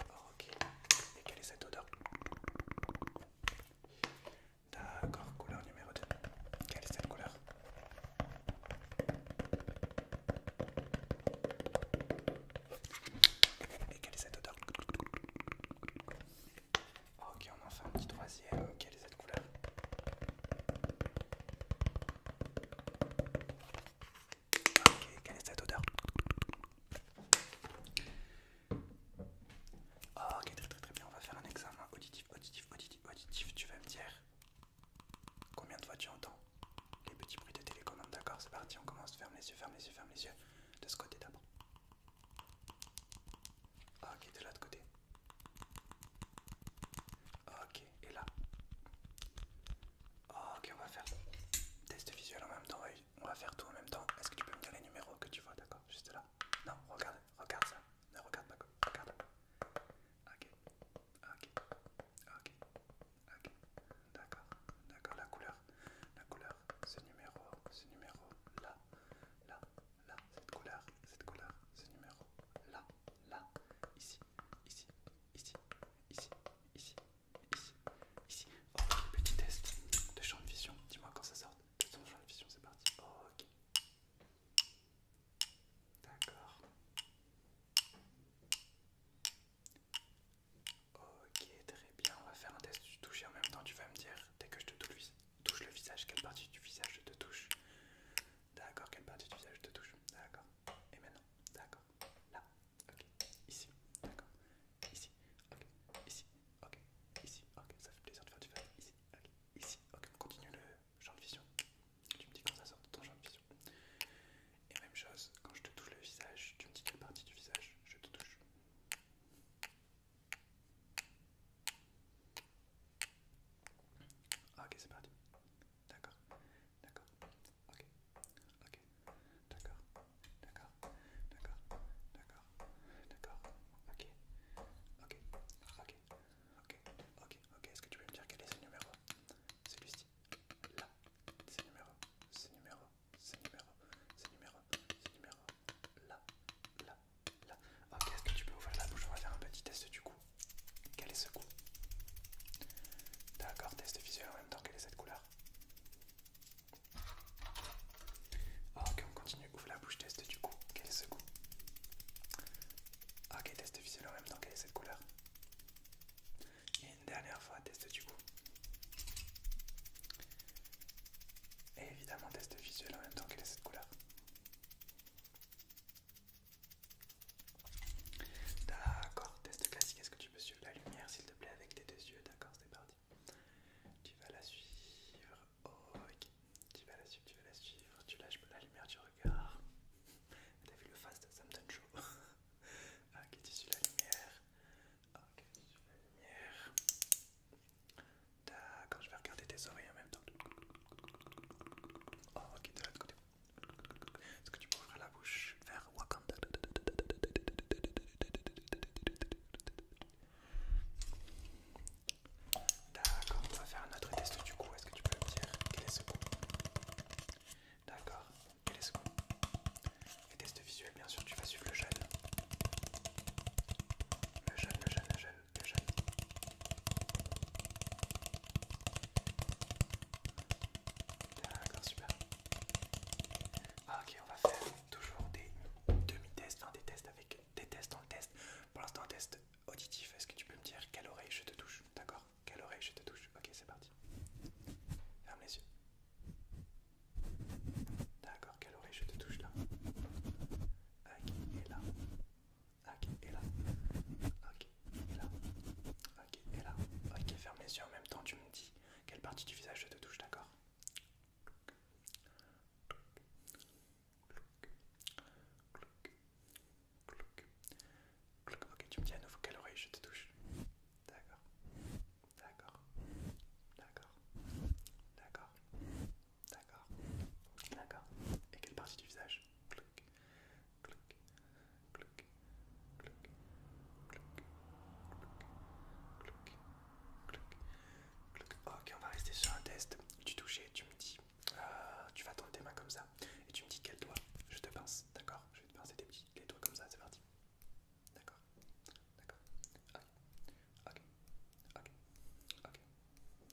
Oh, ok. Et quelle est cette odeur D'accord, couleur numéro 2. Quelle est cette couleur Et quelle est cette odeur Ok, on en fait un petit troisième. Quelle est cette couleur Ok, quelle est cette odeur oh, Ok, très très très bien, on va faire un examen auditif, auditif, auditif, auditif. Tu vas me dire combien de fois tu entends les petits bruits de télécommande. D'accord, c'est parti, on commence. Ferme les yeux, ferme les yeux, ferme les yeux. De ce côté d'abord. Ok, de l'autre côté. Ok, et là. Ah, ok, on va faire test visuel en même temps. On va faire tout en même temps. Est-ce que tu peux me dire les numéros que tu vois, d'accord Juste là. Non, regarde, regarde ça. Ne regarde pas. Regarde. Ok, ok, ok, ok. D'accord, d'accord. La couleur, la couleur. Ce numéro, ce numéro. Là, là, là. Cette couleur, cette couleur. Ce numéro. Là, là. ici, ici, ici, ici, ici ici, ici. Oh, petit test de champ de vision. Dis-moi quand ça sort. Testons champ de vision, c'est parti. ok. D'accord. Ok, très bien. On va faire un test du toucher en même temps. Tu vas me dire dès que je te touche, touche le visage, quelle partie du visage je te touche. D'accord, quelle partie du visage je te touche. D'accord. Et maintenant, d'accord. Là, ok, ici, d'accord, ici, ok, ici, ok, ici, ok, ça fait plaisir de faire du vas, ici, ok, ici, ok, on continue le champ de vision, tu me dis quand ça sort de ton champ de vision. Et même chose, quand je te touche le visage, tu me dis quelle partie du visage je te touche. Ok, c'est parti. D'accord. D'accord. Ok. Ok. D'accord. D'accord. D'accord. D'accord. D'accord. Ok. Ok. Ok. Ok. Ok. Ok. Est-ce que tu peux me dire quel est ce numéro Celui-ci. Là. C'est numéro. C'est numéro. C'est numéro. C'est numéro. C'est numéro. Là. Là. Là. Ok. Est-ce que tu peux ouvrir la bouche On va faire un petit test du coup. Quel est ce goût D'accord, test visuel en même temps, quelle est cette couleur ah, Ok, on continue, ouvre la bouche, test du goût, quel est ce goût Ok, test visuel en même temps, quelle est cette couleur Et une dernière fois, test du goût. Et évidemment, test visuel en même temps, quelle est cette couleur D'accord, test classique, est-ce que tu peux suivre la lumière s'il te plaît avec tes deux yeux D'accord, c'est parti. Tu vas la suivre. Tu vas la suivre, tu vas la suivre. Tu lâches la lumière du regard. T'as vu le fast, ça me donne chaud. ok, tu suis la lumière. Ok, tu suis la lumière. D'accord, je vais regarder tes oreilles en même temps. ok, de l'autre côté. Est-ce que tu peux ouvrir la bouche vers Wakanda D'accord, on va faire un autre test du coup. Est-ce que tu peux me dire quel est ce coup D'accord, quel est ce coup Les tests visuels, bien sûr, tu vas suivre le gel Le gel, le gel, le gel, le gel D'accord, super. Ah, ok, on va faire toujours des demi-tests, des tests avec des tests dans le test. Pour l'instant, un test auditif. Est-ce que tu peux me dire quelle oreille je te touche D'accord Quelle oreille je te touche Ok, c'est parti. Ferme les yeux. D'accord, quelle oreille je te touche là Ok, et là ok, et là, ok, et là, ok, et là, ok, ferme les yeux en même temps, tu me dis quelle partie du visage je te touche, d'accord Ok, tu me dis à nouveau quelle oreille je te touche, d'accord, d'accord, d'accord, d'accord, D'accord. D'accord. Et quelle partie du visage Clouc, clouc, Ok, on va rester sur un test Tu touches et Tu me dis, euh, tu vas tendre tes mains comme ça et tu me dis quel doigt je te pince. D'accord Je vais te pincer tes petits, les doigts comme ça, c'est parti. D'accord D'accord. Ok. Ok. Ok. Ok.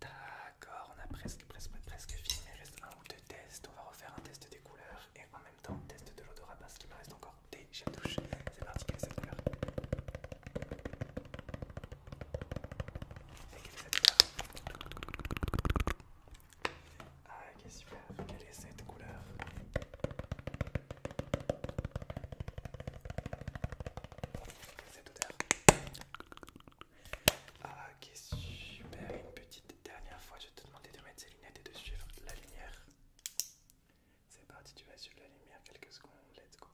D'accord, on a presque, presque, presque fini. Il reste un ou deux tests. On va refaire un test des couleurs et en même temps un test de l'odorat parce qu'il me reste encore des chatouches. C'est parti, quelle est cette quelle est cette couleur ah, c'est super, quelle est cette couleur Cette odeur Ah, qui super Une petite dernière fois, je te demander de mettre ces lunettes et de suivre la lumière. C'est parti, tu vas suivre la lumière quelques secondes, let's go.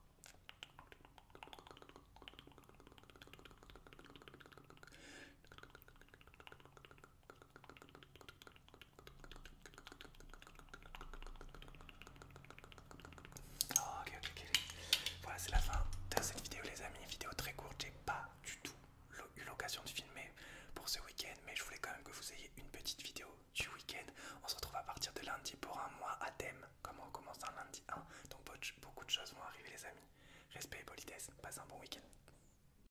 Oh, voilà, c'est la fin de cette vidéo, les amis. Vidéo très courte, j'ai pas du tout eu l'occasion de filmer pour ce week-end, mais je voulais quand même que vous ayez une petite vidéo du week-end. On se retrouve à partir de lundi pour un mois à thème, comme on commence un lundi 1. Donc, beaucoup de choses vont arriver, les amis. Respect et politesse, passez un bon week-end.